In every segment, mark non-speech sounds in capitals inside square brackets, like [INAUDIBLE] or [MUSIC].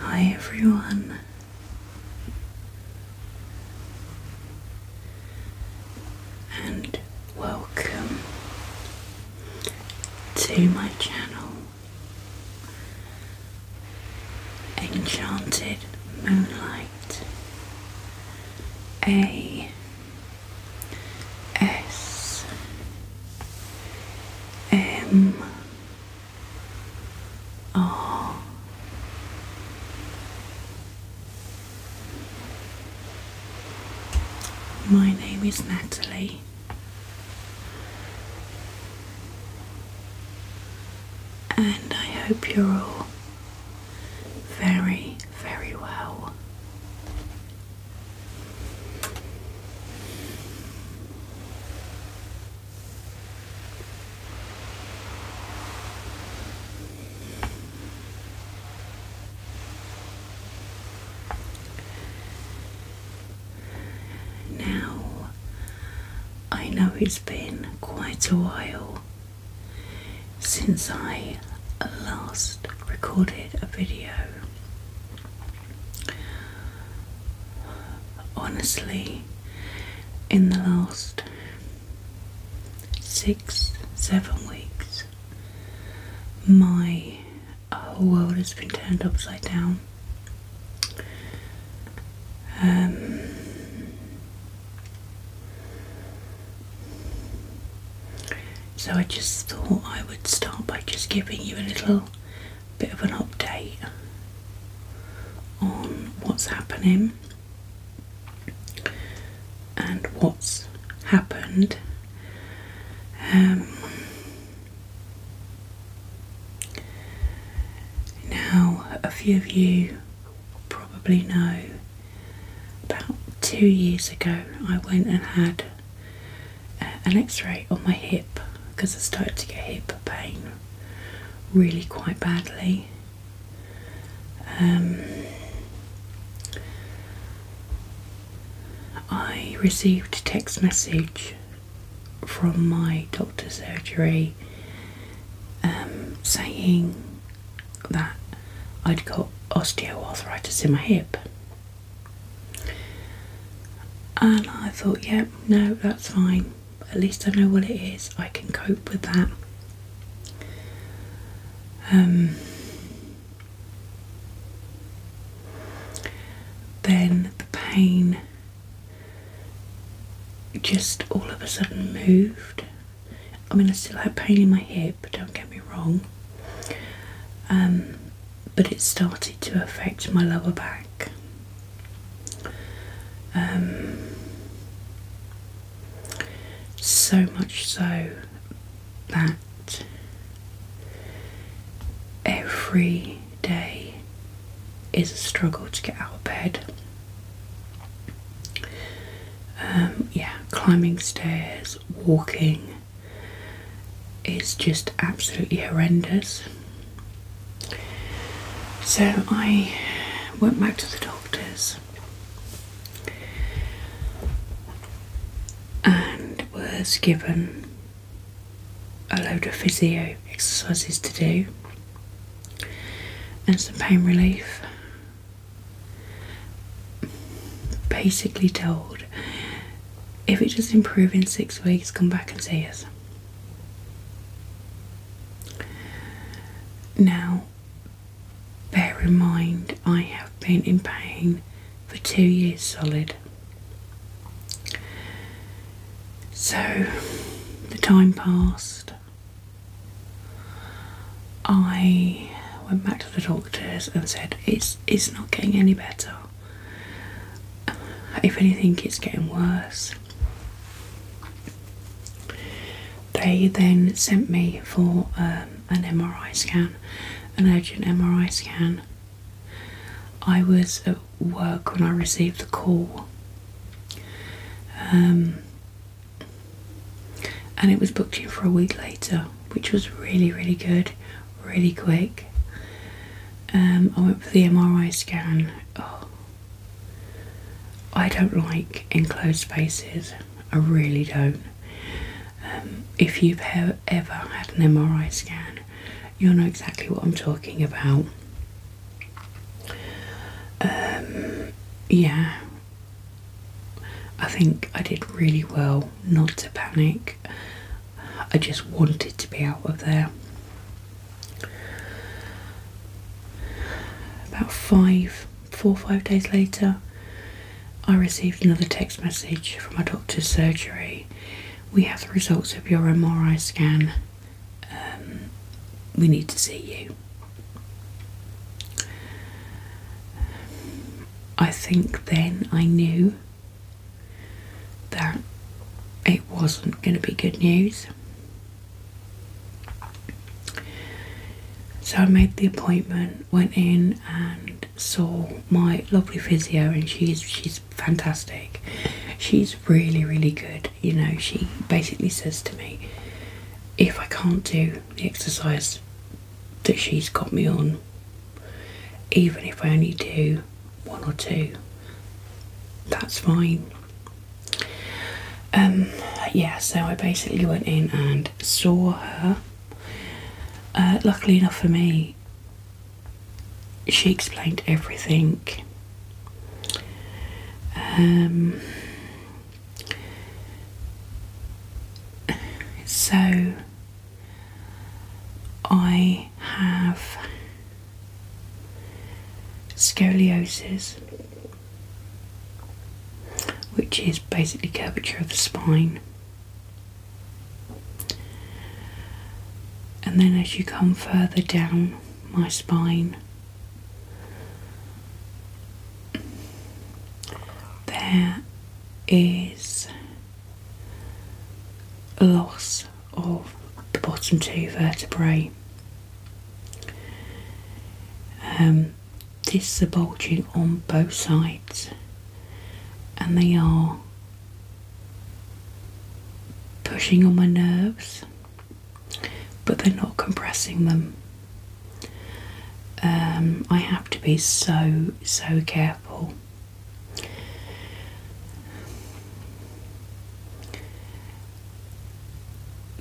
Hi everyone. And welcome to my channel Enchanted Moonlight A S M R My name is Natalie. And I hope you're all very, very well. Now, I know it's been quite a while since I last recorded a video, Honestly, in the last six, seven weeks, my whole world has been turned upside down. Um, so I just thought I would start by just giving you a little bit of an update on what's happening and what's happened. Um, now, a few of you probably know about two years ago I went and had an x-ray on my hip because I started to get hip pain really quite badly. Um, I received a text message from my doctor's surgery um, saying that I'd got osteoarthritis in my hip. And I thought, yep, yeah, no, that's fine. At least I know what it is. I can cope with that. Um, then the pain just all of a sudden moved. I mean, I still had pain in my hip, don't get me wrong. Um, but it started to affect my lower back. Um, so much so that every day is a struggle to get out of bed. Um, yeah, climbing stairs, walking, it's just absolutely horrendous. So I went back to the doctors and was given a load of physio exercises to do and some pain relief. Basically, told if it just improves in six weeks, come back and see us. Now, bear in mind, I have been in pain for two years solid. So, the time passed. I went back to the doctors and said, "It's it's not getting any better." If anything, it's getting worse. They then sent me for um, an MRI scan, an urgent MRI scan. I was at work when I received the call, um, and it was booked in for a week later, which was really, really good really quick. Um, I went for the MRI scan. Oh, I don't like enclosed spaces. I really don't. Um, if you've ever had an MRI scan, you'll know exactly what I'm talking about. Um, yeah, I think I did really well not to panic I just wanted to be out of there. About five, four or five days later, I received another text message from my doctor's surgery. We have the results of your MRI scan. Um, we need to see you. I think then I knew that it wasn't going to be good news. So I made the appointment, went in and saw my lovely physio, and she's she's fantastic. She's really really good. You know, she basically says to me, if I can't do the exercise that she's got me on, even if I only do one or two, that's fine. Um, yeah, so I basically went in and saw her. Uh, luckily enough for me, she explained everything. Um, so I have scoliosis, which is basically curvature of the spine. And then as you come further down my spine, there is loss of the bottom two vertebrae. Um, this is bulging on both sides, and they are pushing on my nerves, but they're not compressing them. Um, I have to be so so careful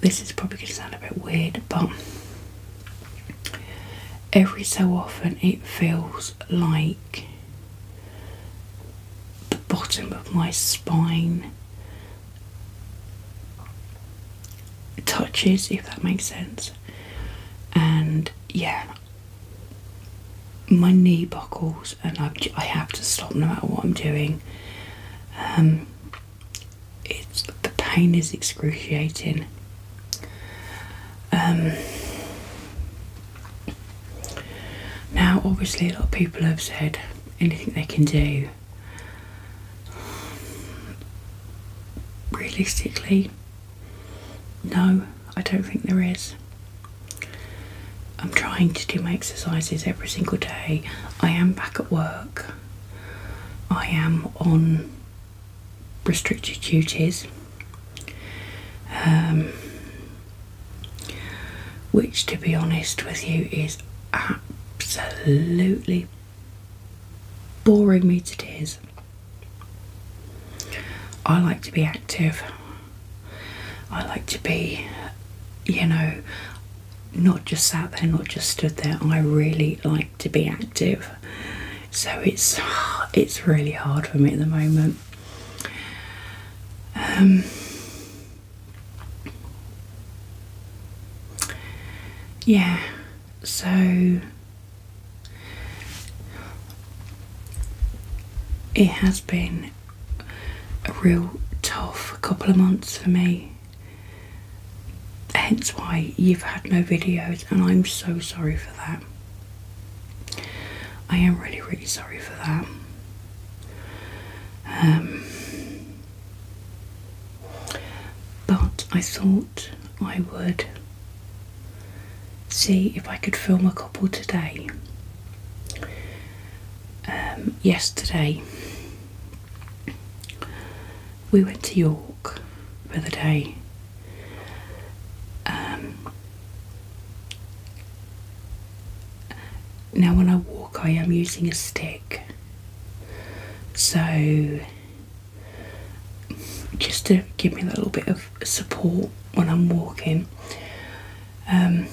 this is probably going to sound a bit weird, but every so often it feels like the bottom of my spine touches, if that makes sense. And yeah, my knee buckles and I've, to stop no matter what I'm doing. Um, it's the pain is excruciating. Um, now, obviously, a lot of people have said anything they can do. Realistically, no. I don't think there is. I'm trying to do my exercises every single day. I am back at work. I am on restricted duties, um, which, to be honest with you, is absolutely boring me to tears. I like to be active. I like to be, you know, not just sat there, not just stood there. I really like to be active. So it's it's really hard for me at the moment. Um, yeah, so it has been a real tough couple of months for me. Hence why you've had no videos, and I'm so sorry for that. I am really, really sorry for that. Um, but I thought I would see if I could film a couple today um, yesterday. We went to York for the day. Um, now, when I walk, I am using a stick, so just to give me a little bit of support when I'm walking. Um,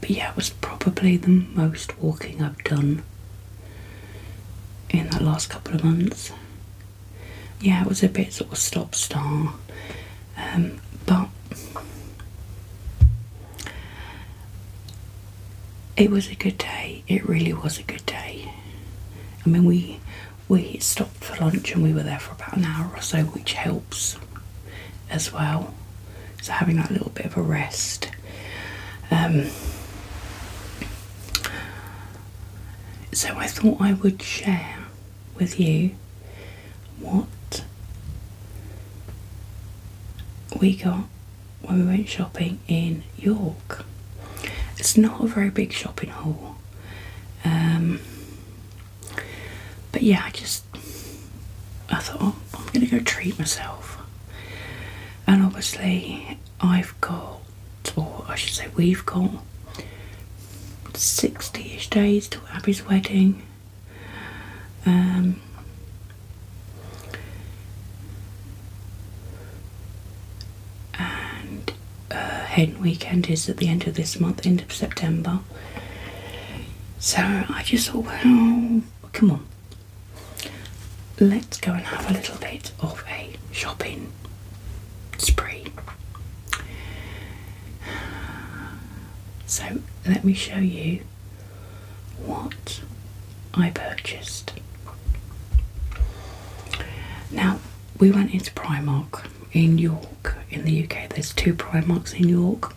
but yeah, it was probably the most walking I've done in that last couple of months. Yeah, it was a bit sort of stop star, um, but it was a good day. It really was a good day. I mean, we we stopped for lunch and we were there for about an hour or so, which helped as well. So having that little bit of a rest. Um, so I thought I would share with you what we got when we went shopping in York. It's not a very big shopping hall. Um, but yeah, I just I thought oh, I'm gonna go treat myself, and obviously I've got, or I should say we've got, sixty-ish days till Abby's wedding. Um, and uh, hen weekend is at the end of this month, end of September. So I just thought, well, come on, let's go and have a little bit of a shopping spree. So let me show you what I purchased. Now, we went into Primark in York, in the UK. There's two Primarks in York.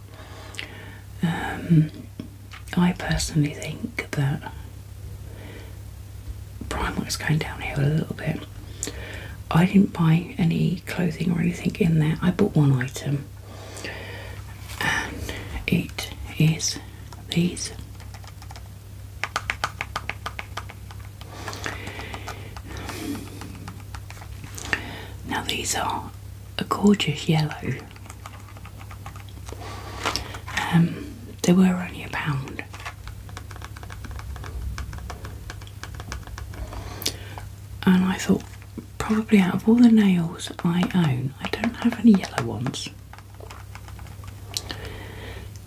Um, I personally think that is going downhill a little bit. I didn't buy any clothing or anything in there. I bought one item, and it is these. Now, these are a gorgeous yellow. Um, they were only a pound. And I thought, probably out of all the nails I own, I don't have any yellow ones.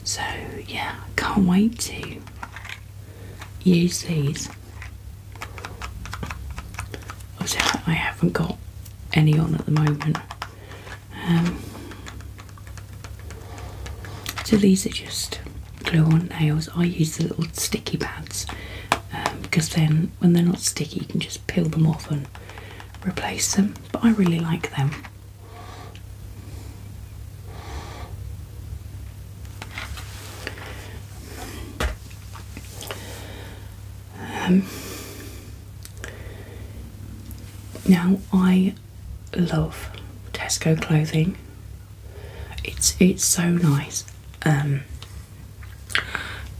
So, yeah, can't wait to use these. I haven't got any on at the moment. Um, so these are just glue on nails. I use the little sticky pads because um, then when they're not sticky, you can just peel them off and replace them. But I really like them. Um, now I love Tesco clothing. It's it's so nice. Um,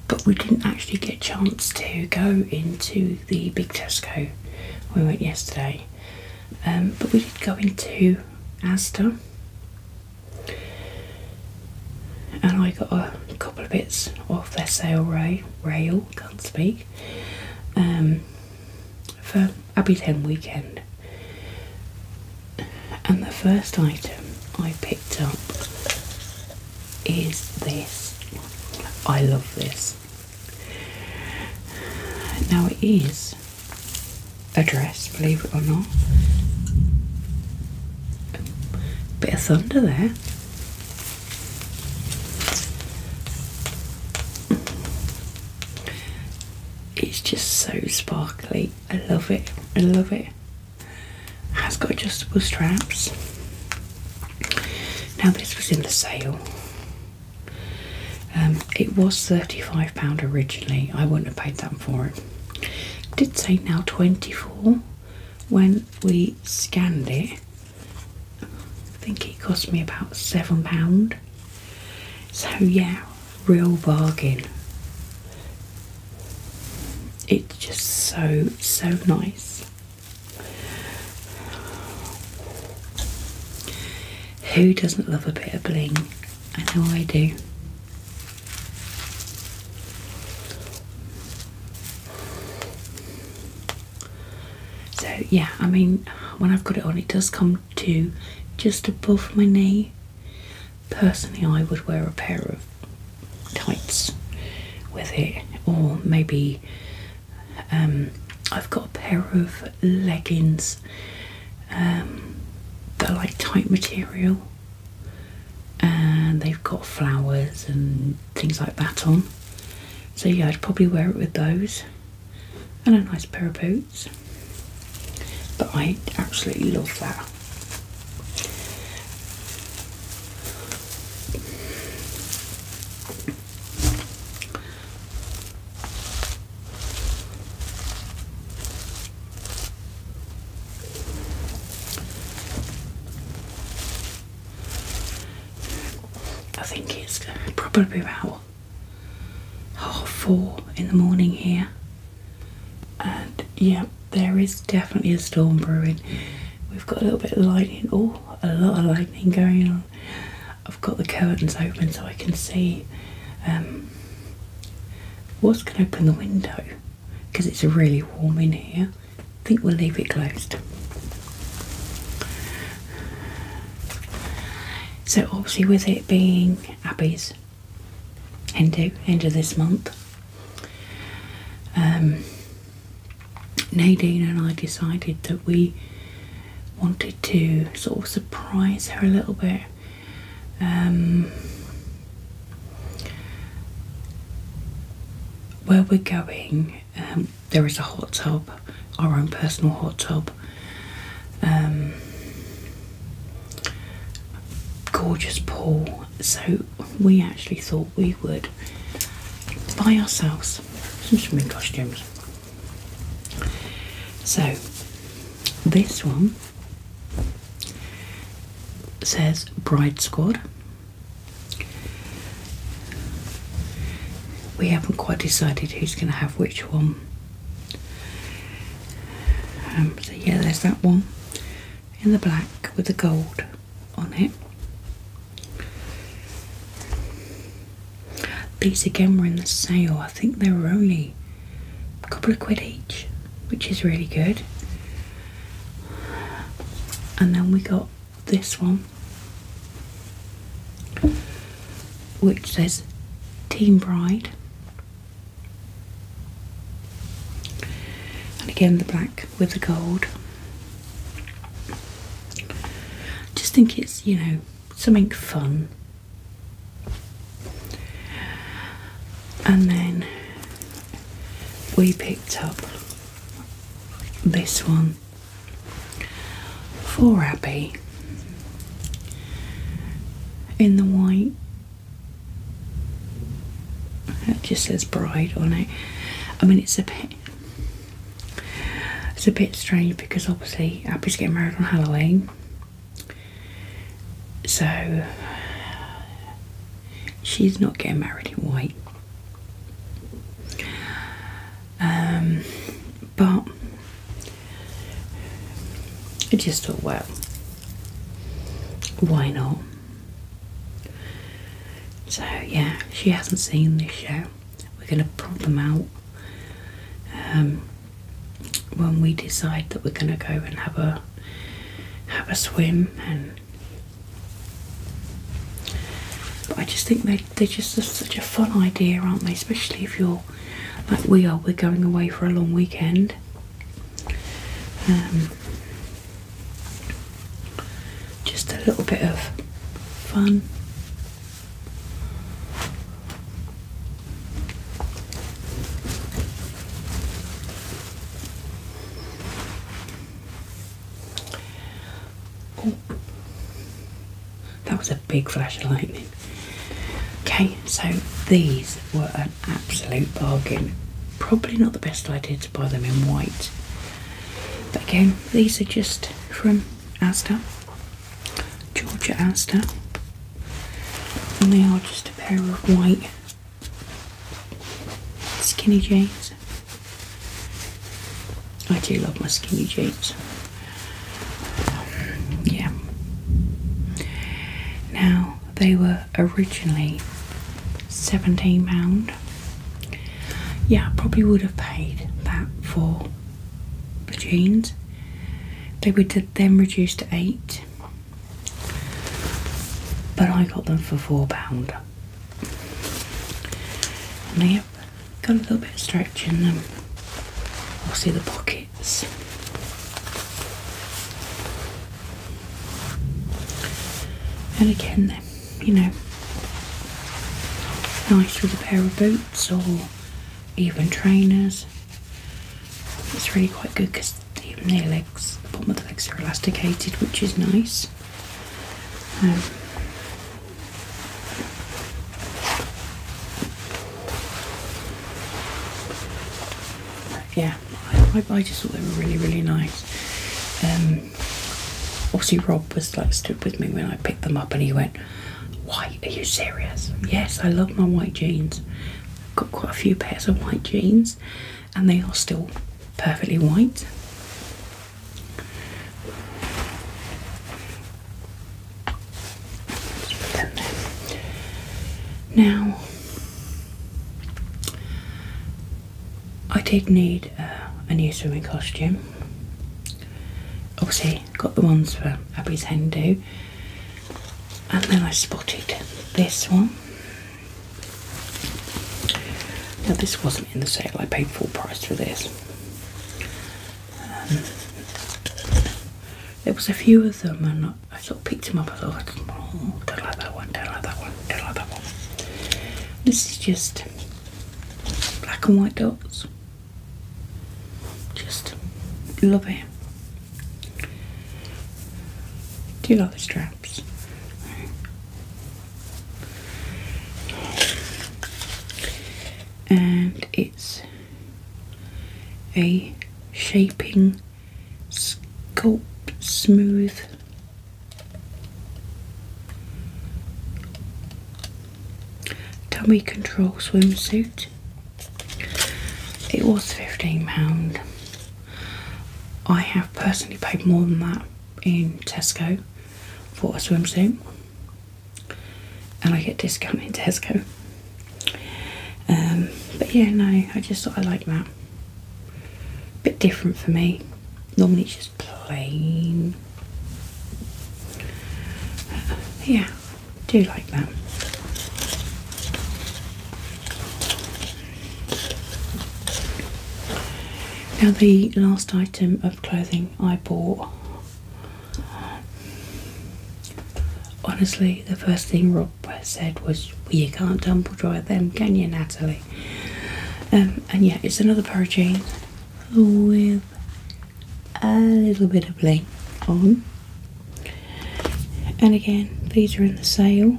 but we didn't actually get a chance to go into the big Tesco. We went yesterday, um, but we did go into Astor and I got a couple of bits off their sale rail, rail can't speak, um, for Abbey Ten weekend. And the first item I picked up is this. I love this. Now it is address, believe it or not. Bit of thunder there. It's just so sparkly. I love it. I love it. Has got adjustable straps. Now this was in the sale. Um, it was £35 originally. I wouldn't have paid that for it did say now 24 when we scanned it. I think it cost me about seven pound. So yeah, real bargain. It's just so so nice. Who doesn't love a bit of bling? I know I do. So yeah, I mean, when I've got it on, it does come to just above my knee. Personally, I would wear a pair of tights with it, or maybe um, I've got a pair of leggings um, that are like tight material and they've got flowers and things like that on. So, yeah, I'd probably wear it with those and a nice pair of boots. But I absolutely love that. I think it's probably about half four in the morning here, and yeah, there is definitely a storm brewing. We've got a little bit of lightning, oh, a lot of lightning going on. I've got the curtains open so I can see. Um, what's going to open the window? because it's really warm in here. I think we'll leave it closed. So, obviously, with it being Abby's Hindu end of this month, um, Nadine and I decided that we wanted to sort of surprise her a little bit um, where we're going, um, there is a hot tub, our own personal hot tub. Um, gorgeous pool. So we actually thought we would buy ourselves some swimming costumes. So this one says Bride Squad. We haven't quite decided who's going to have which one. Um, so, yeah, there's that one in the black with the gold on it. These again were in the sale, I think they were only a couple of quid each, which is really good. And then we got this one, which says Team Bride. And again, the black with the gold. Just think it's, you know, something fun and then we picked up this one for Abby in the white. It just says bride on it. I mean, it's a bit. It's a bit strange because obviously Abby's getting married on Halloween, so she's not getting married in white. Um, but I just thought, well, why not? So yeah, she hasn't seen this show. We're gonna put them out um, when we decide that we're gonna go and have a have a swim and I just think they they're just such a fun idea, aren't they? Especially if you're like we are, we're going away for a long weekend. Um, just a little bit of fun. Oh, that was a big flash of lightning. Okay, so these were an absolute bargain. Probably not the best idea to buy them in white. But again, these are just from Asda, Georgia Asda, and they are just a pair of white Skinny jeans. I do love my skinny jeans. yeah. Now they were originally £17. Yeah, I probably would have paid that for the jeans. They were then reduced to eight but I got them for £4. they have got a little bit of stretch in them. I'll see the pockets. And again, they're, you know, nice with a pair of boots or even trainers. It's really quite good because the near legs, the bottom of the legs are elasticated, which is nice. Um, yeah, I, I, just thought they were really, really nice. Um, obviously, Rob was like stood with me when I picked them up, and he went, "White? Are you serious?" Yes, I love my white jeans. I've got quite a few pairs of white jeans, and they are still perfectly white. Now, I did need uh, a new swimming costume. Obviously, got the ones for Abby's Hen and then I spotted this one now this wasn't in the sale. I paid full price for this. Um, there was a few of them, and I sort of picked them up. I thought, oh, don't like that one, don't like that one, don't like that one. This is just black and white dots. Just love it. Do you like this dress? And it's a shaping, sculpt, smooth. Tummy control swimsuit. It was £15. I have personally paid more than that in Tesco for a swimsuit, and I get discount in Tesco. Um, but yeah, no, I just thought I like that. Bit different for me. Normally it's just plain. yeah, do like that. Now, the last item of clothing I bought. Honestly, the first thing Rob said was, You can't tumble dry them, can you, Natalie? Um, and yeah, it's another pair of jeans with a little bit of bling on. And again, these are in the sale.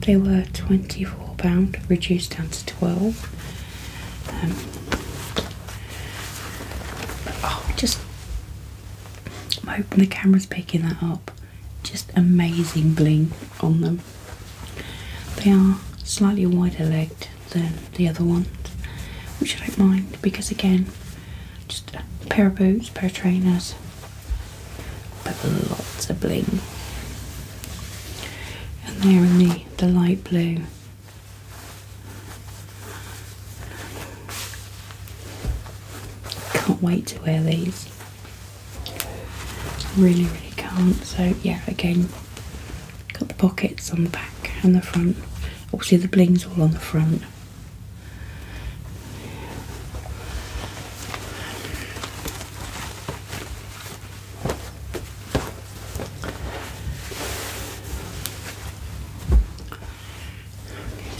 They were £24, reduced down to 12 um, just, I'm hoping the camera's picking that up. Just amazing bling on them. They are slightly wider legged than the other ones, which I don't mind because again, just a pair of boots, pair of trainers, but lots of bling. And they're in the, the light blue. Can't wait to wear these. Really, really can't. So yeah, again, got the pockets on the back and the front. Obviously the bling's all on the front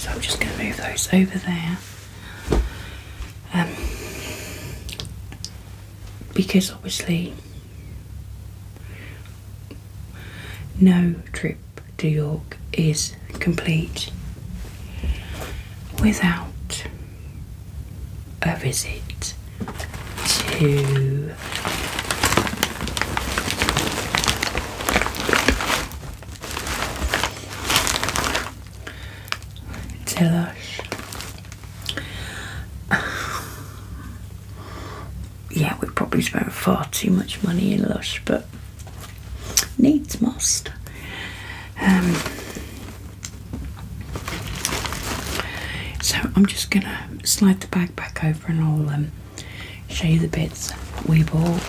so I'm just going to move those over there. Um, because obviously, no trip to York is complete without a visit to Tilush. [SIGHS] yeah, we probably spent far too much money in Lush, but needs must. Um, so I'm just gonna slide the bag back over and I'll um, show you the bits we bought.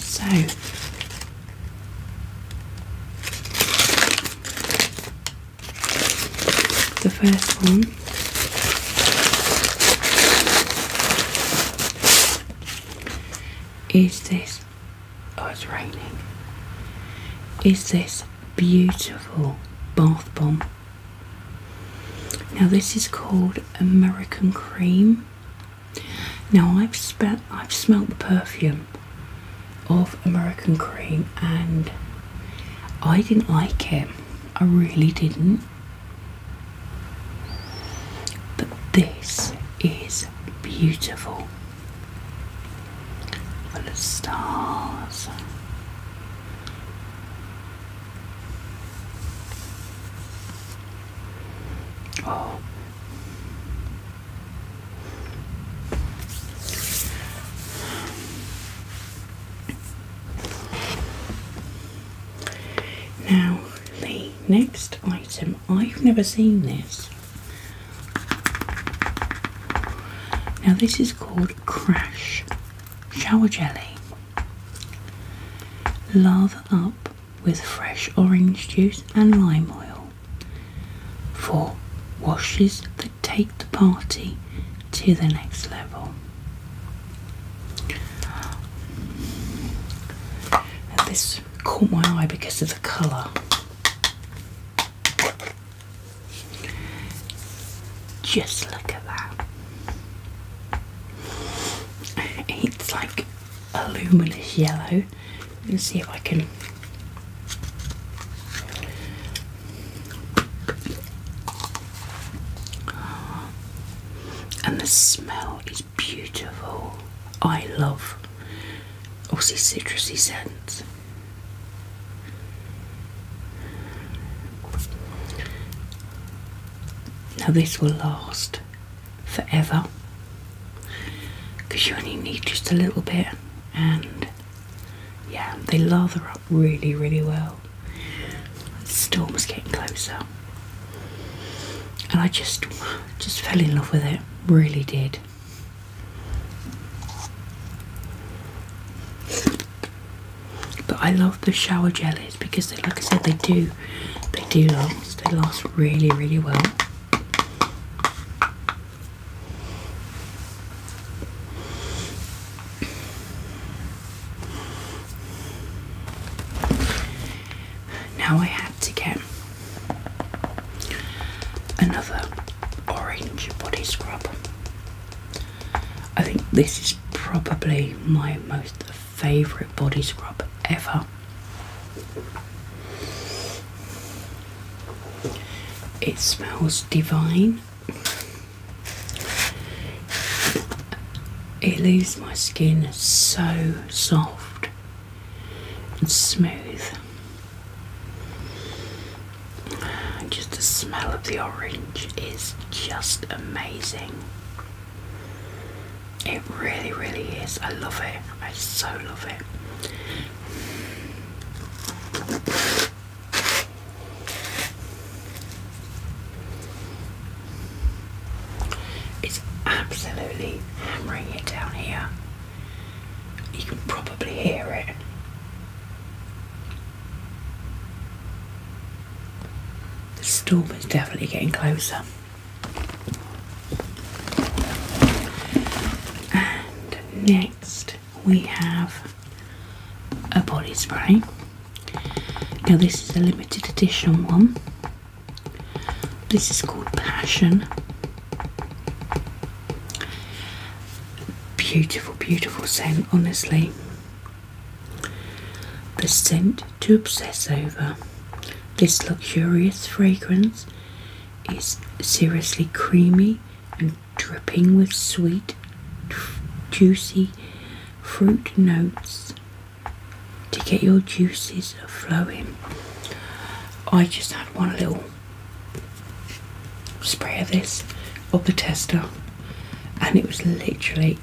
So the first one is this. Oh, it's raining. Is this beautiful bath bomb? Now, this is called American Cream, now I've spent I've smelt the perfume of American Cream and I didn't like it. I really didn't. But this is beautiful. Full of stars. Oh. Now, the next item, I've never seen this. Now, this is called Crash Shower Jelly. Lather up with fresh orange juice and lime oil. 4. Washes that take the party to the next level. this caught my eye because of the colour. Just look at that. It's like Aluminous yellow. Let's see if I can. And the smell is beautiful. I love also citrusy scents. Now, this will last forever because you only need just a little bit and yeah they lather up really really well the storm was getting closer and I just just fell in love with it really did but I love the shower jellies because they, like I said they do they do last, they last really, really well. Now I had to get another orange body scrub. I think this is probably my most favourite body scrub ever. It smells divine. It leaves my skin so soft and smooth. Just the smell of the orange is just amazing. It really, really is. I love it. I so love it. It's absolutely hammering it down here. You can probably hear it. The storm is definitely getting closer. And next we have a body spray. Now, this is a limited edition one. This is called Passion. Beautiful, beautiful scent, honestly. The scent to obsess over. This luxurious fragrance is seriously creamy and dripping with sweet, juicy fruit notes to get your juices flowing. I just had one little spray of this of the tester, and it was literally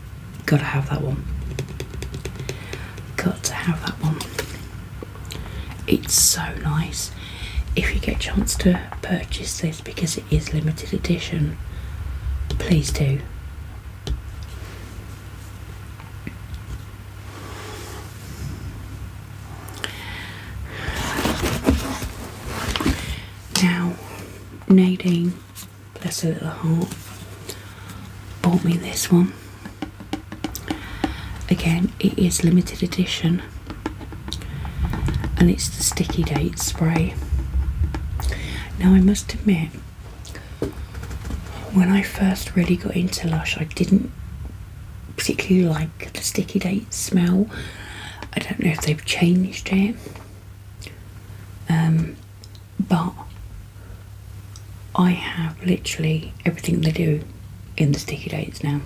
Gotta have that one. Got to have that one. It's so nice. If you get a chance to purchase this because it is limited edition, please do. Now, Nadine, bless her little heart, bought me this one. Again, it is limited edition and it's the sticky date spray. Now, I must admit, when I first really got into Lush, I didn't particularly like the sticky date smell. I don't know if they've changed it. Um, but I have literally everything they do in the sticky dates now.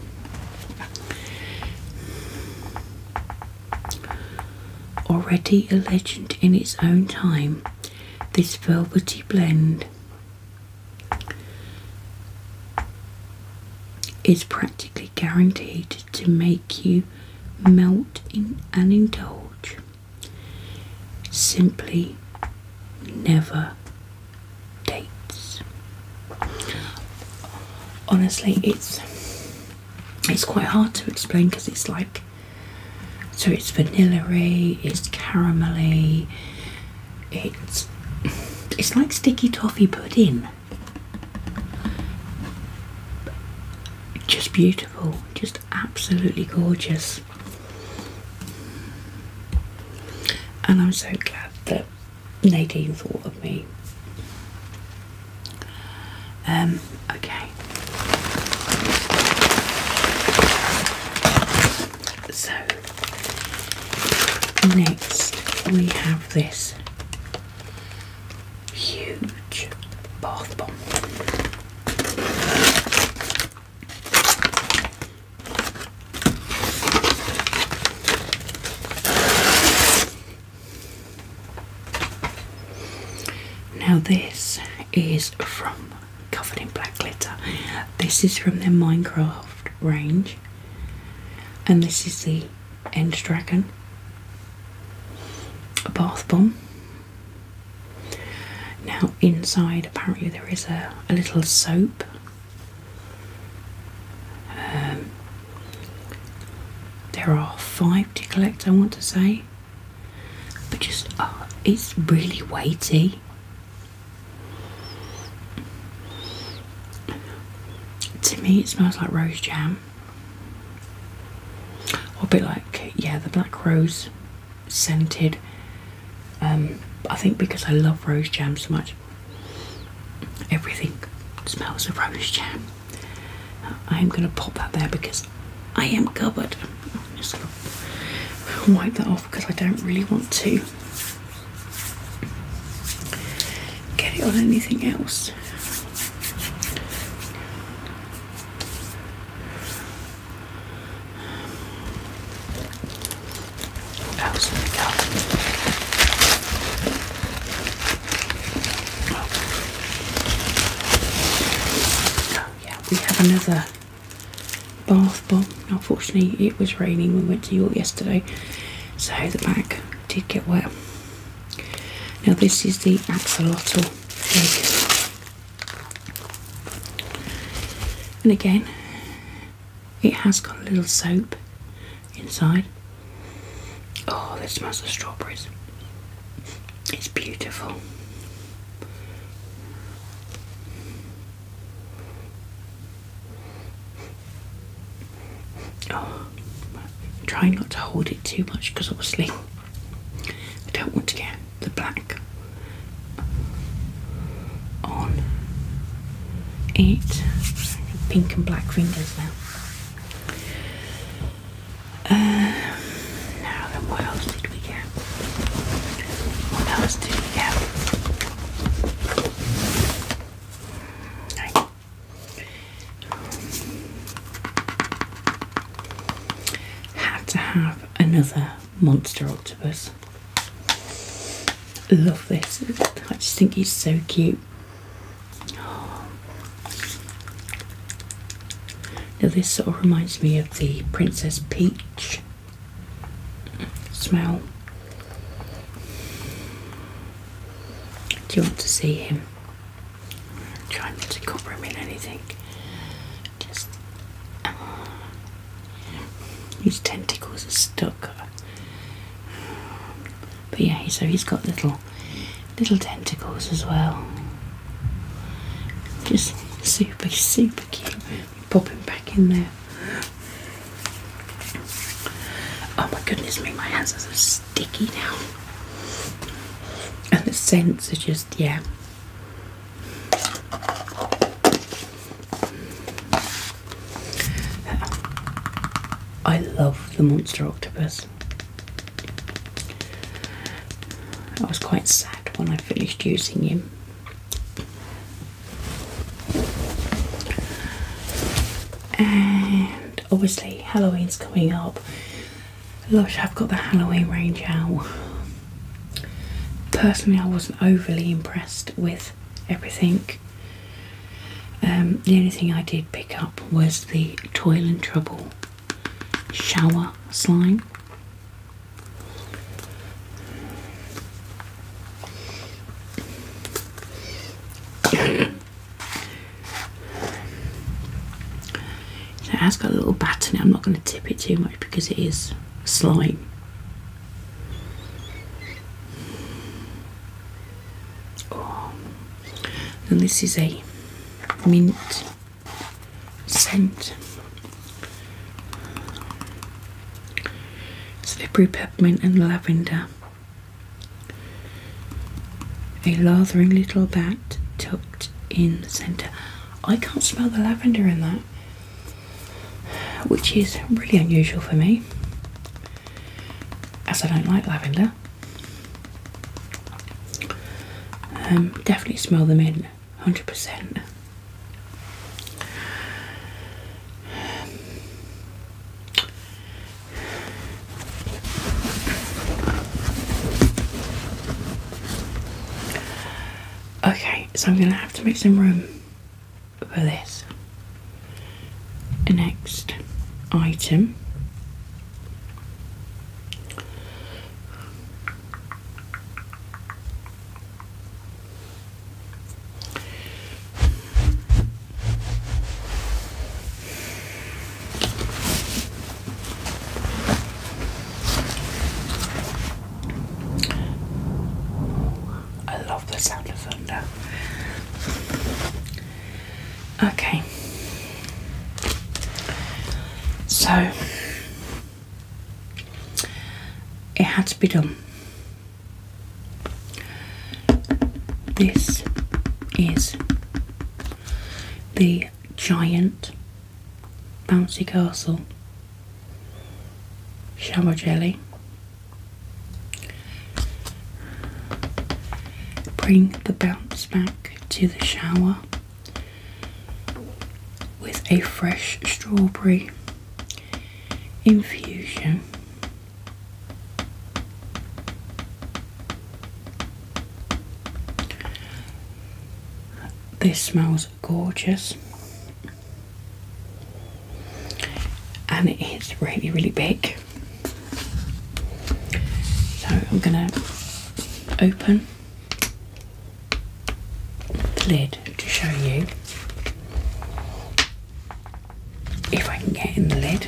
Already a legend in its own time, this velvety blend is practically guaranteed to make you melt in and indulge simply never dates. Honestly, it's it's quite hard to explain because it's like so it's vanilla-y, it's caramelly, it's it's like sticky toffee pudding. Just beautiful, just absolutely gorgeous. And I'm so glad that Nadine thought of me. Um, okay. So next we have this huge bath bomb. Now, this is from Covered in Black Glitter. This is from their Minecraft range, and this is the End Dragon, a bath bomb. Now, inside apparently there is a, a little soap. Um, there are five to collect, I want to say, but just oh, it's really weighty. To me, it smells like rose jam, a bit like, yeah, the black rose scented. Um, I think because I love rose jam so much, everything smells of rose jam. I am going to pop that there because I am covered. just wipe that off because I don't really want to get it on anything else we Oh yeah, we have another bath bomb. Unfortunately, it was raining. We went to York yesterday, so the bag did get wet. Now this is the axolotl and again, it has got a little soap inside. Oh, that smells of strawberries. It's beautiful. Oh, i trying not to hold it too much because obviously I don't want to get the black on it. Pink and black fingers now. Um, now what else did we get? What else did we get? Right. Had to have another monster octopus. Love this. I just think he's so cute. Now, this sort of reminds me of the Princess Peach smell. Do you want to see him? I'm trying not to cover him in anything. Just. His tentacles are stuck. But yeah, so he's got little little tentacles as well. Just super, super cute. Pop him back in there. Oh my goodness me, my hands are so sticky now. And the scents are just, yeah. I love the monster octopus. I was quite sad when I finished using him. And obviously, Halloween's coming up. i have got the Halloween range out. Personally, I wasn't overly impressed with everything. Um, the only thing I did pick up was the Toil and Trouble shower slime. So [COUGHS] it has got a little bat in it. I'm not going to tip it too much because it is slight. Oh. And this is a mint scent. Slippery peppermint and lavender. A lathering little bat tucked in the centre. I can't smell the lavender in that which is really unusual for me as I don't like lavender. Um, definitely smell them in 100%. Okay, so I'm going to have to make some room for this. next item I love the sound of thunder. Okay. So it had to be done. This is the giant bouncy castle Shallow jelly. Bring the bounce back to the shower with a fresh strawberry infusion. This smells gorgeous and it is really, really big. So I'm going to open the lid to show you if I can get in the lid.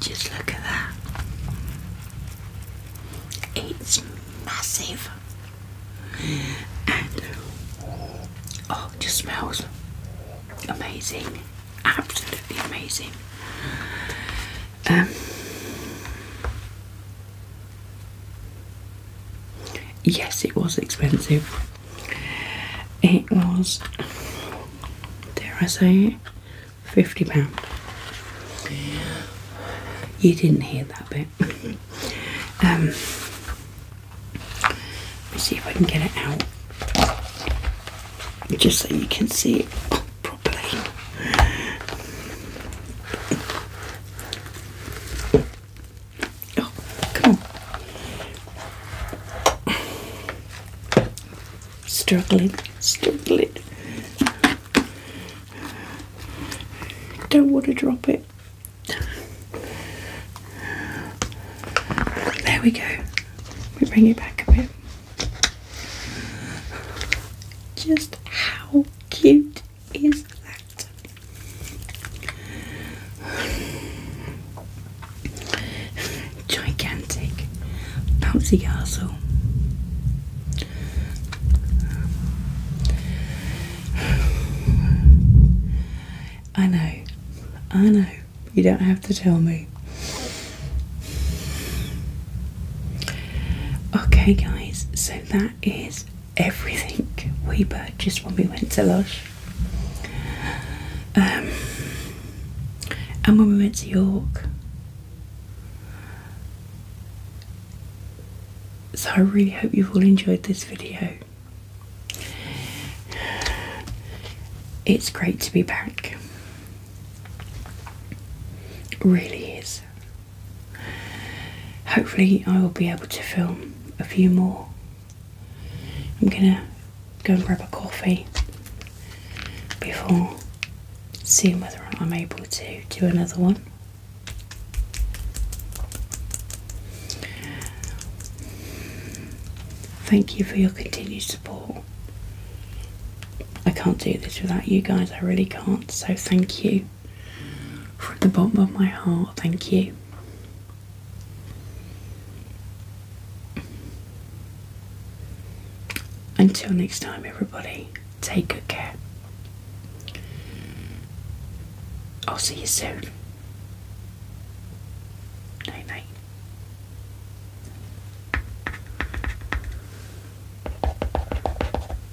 Just look at that. It's massive. And oh, it just smells amazing. Absolutely amazing. Um Yes, it was expensive. It was, dare I say it, £50. You didn't hear that bit. Um, let me see if I can get it out. Just so you can see it properly. Oh, come on. Struggling, struggling. Don't want to drop it. There we go. We bring it back a bit. Just how cute is that gigantic bouncy castle. I know, I know, you don't have to tell me. Okay, guys, so that is everything we purchased when we went to Lush. Um, and when we went to York. So I really hope you've all enjoyed this video. It's great to be back. really is. Hopefully, I will be able to film a few more. I'm gonna go and grab a coffee before seeing whether I'm able to do another one. Thank you for your continued support. I can't do this without you guys, I really can't, so thank you. From the bottom of my heart, thank you. Until next time, everybody, take good care. I'll see you soon. Night night.